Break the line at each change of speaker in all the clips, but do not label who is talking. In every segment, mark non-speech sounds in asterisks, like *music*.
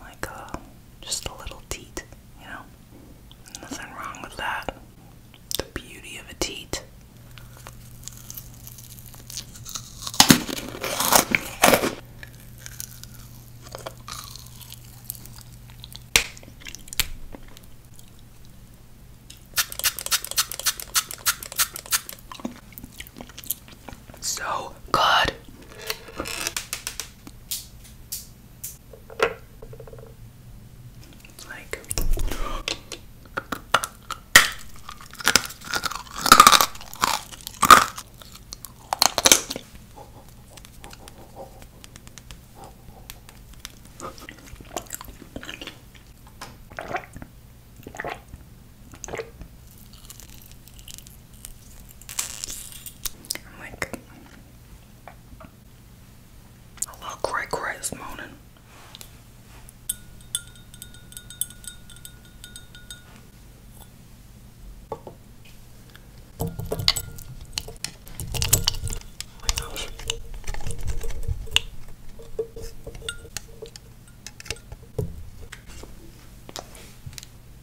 like a, uh, just a little teat, you know? Nothing wrong with that. The beauty of a teat. So good. like I'm like a little cray cray this morning. Oh my gosh.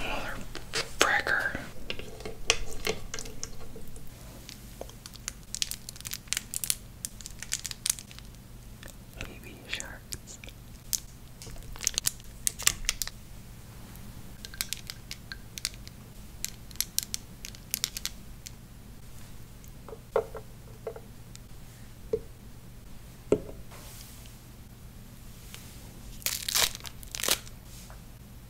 Mother fracker. Baby sharks.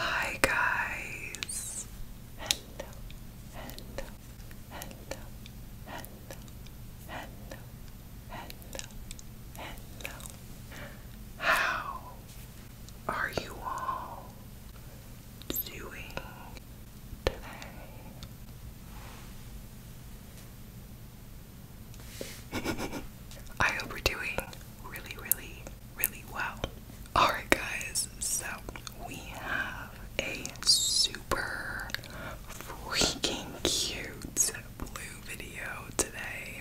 Hi guys. Hello. Hello. Hello. Hello. Hello. Hello. How are you all doing today? *laughs* I hope we're doing really, really, really well. Alright, guys, so we have a super freaking cute blue video today,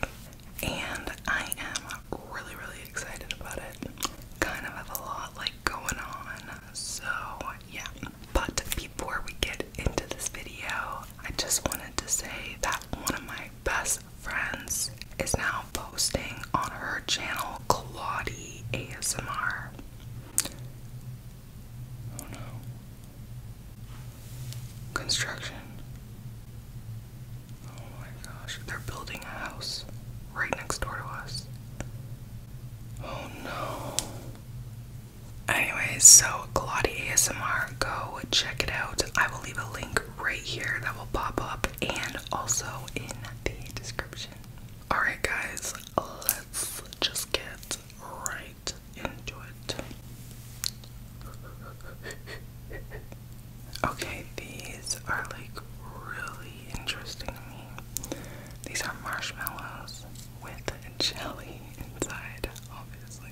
and I am really, really excited about it. Kind of have a lot like going on, so yeah. But before we get into this video, I just wanted to say that one of my best friends is now posting on her channel, Claudie ASMR. Oh no. Construction. Oh my gosh, they're building a house right next door to us. Oh no. Anyways, so Claudia ASMR, go check it out. I will leave a link right here that will pop up and also in the description. Alright, guys, let's just get right into it. *laughs* Okay, these are like really interesting to me. These are marshmallows with jelly inside, obviously.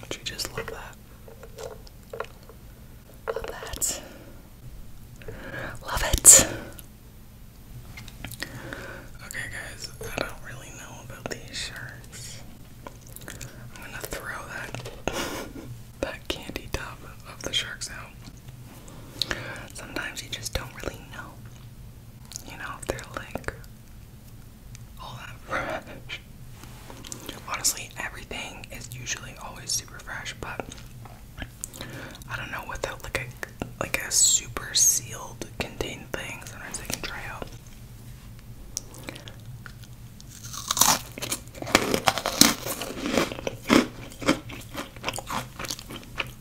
Would you just love that? Love that. Love it. Okay, guys, I don't really know about these sharks. I'm gonna throw that *laughs* that candy tub of the sharks out. Sometimes you just don't really know. You know, they're like all that fresh. Honestly, everything is usually always super fresh, but I don't know without like a like a super sealed contained thing. Sometimes I can try out.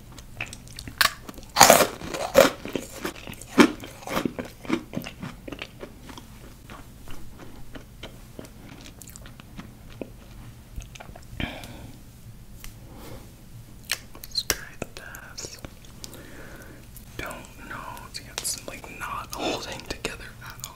let the test. Don't know. It's like not holding together at all.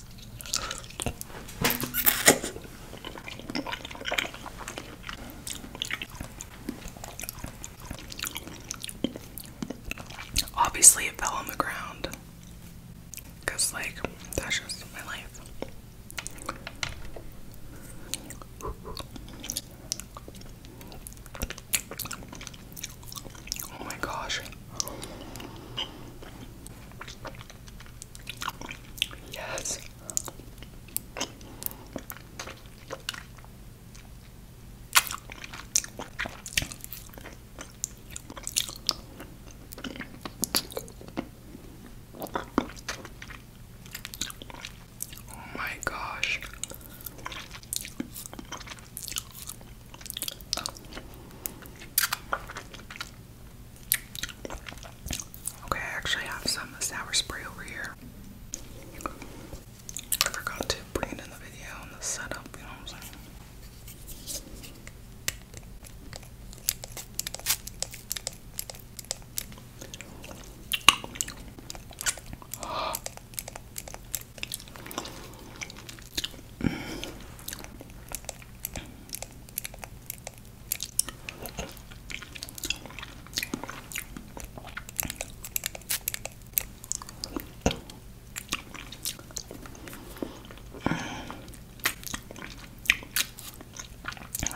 Obviously, it fell on the ground. Because, like, that's just my life. Oh my gosh. Yes. Oh my gosh. Okay, I actually have some sour spray over here. forgot to bring it in the video and the setup, you know what I'm saying? Mm.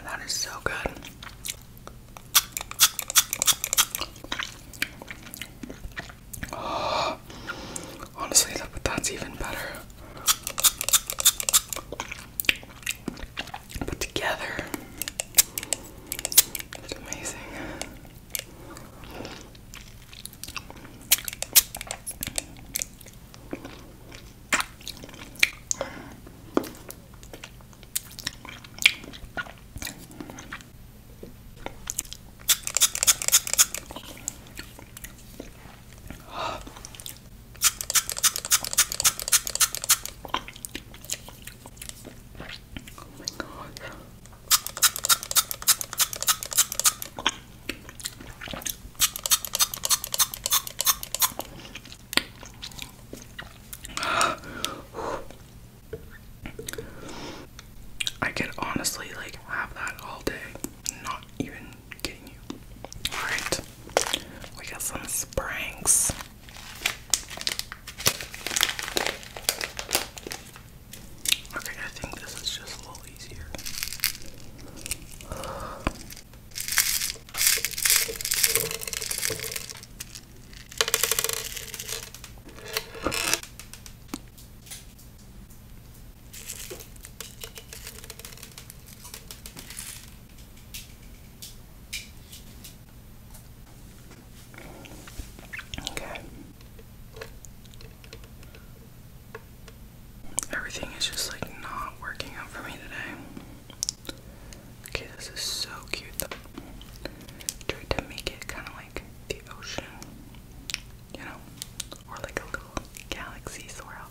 That is so good. *gasps* honestly, that's even better. Put together. It's amazing. Oh *gasps* I can honestly like have that all day, not even Alright, we got some springs. Okay, I think this is just a little easier. Okay. Everything is just like not working out for me today. Okay, this is so cute Tried to make it kind of like the ocean, you know, or like a little galaxy swirl.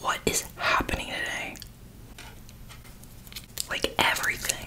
What is happening today? Like everything.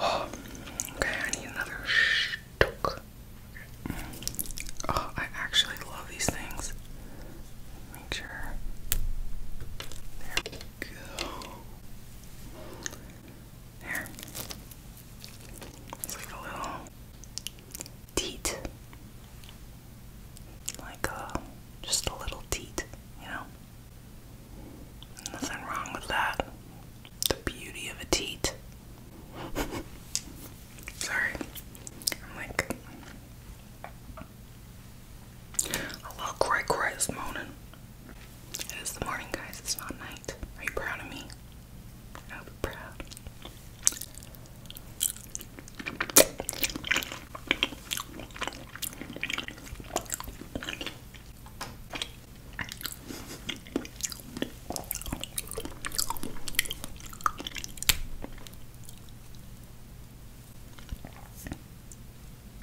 Oh, okay, I need another shtuck. Oh, I actually love these things. Make sure. There go. There. It's like a little teat. Like uh, just a little teat, you know? Nothing wrong with that. The beauty of a teat. *laughs* Sorry. I'm like, I love cray cray this morning. It is the morning, guys. It's not night. Are you proud of me? I'll proud.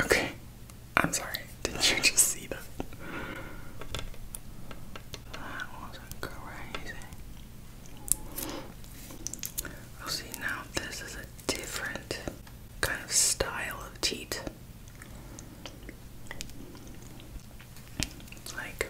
Okay. I'm sorry. Did you just see that? That was crazy. Oh, see, now this is a different kind of style of teat. It's like.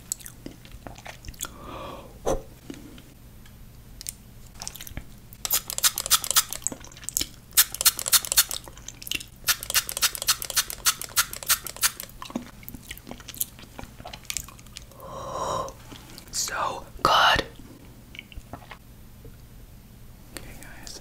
So good. Okay, guys.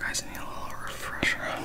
Guys, I need a little refresher on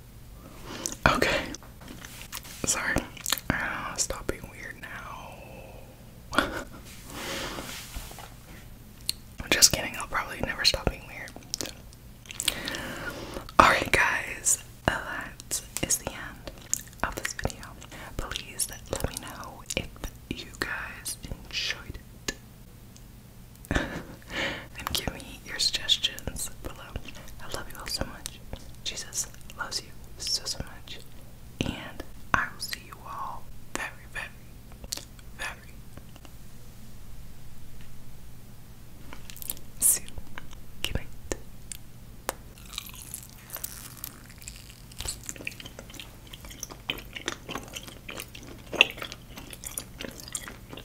Okay. Sorry. Uh, stop being weird now. I'm *laughs* just kidding. I'll probably never stop being weird. Alright, guys. Uh, that is the end of this video. Please let me know if you guys enjoyed *laughs* and give me your suggestions below. I love you all so much. Jesus loves you so, so much. And I will see you all very, very, very soon. Good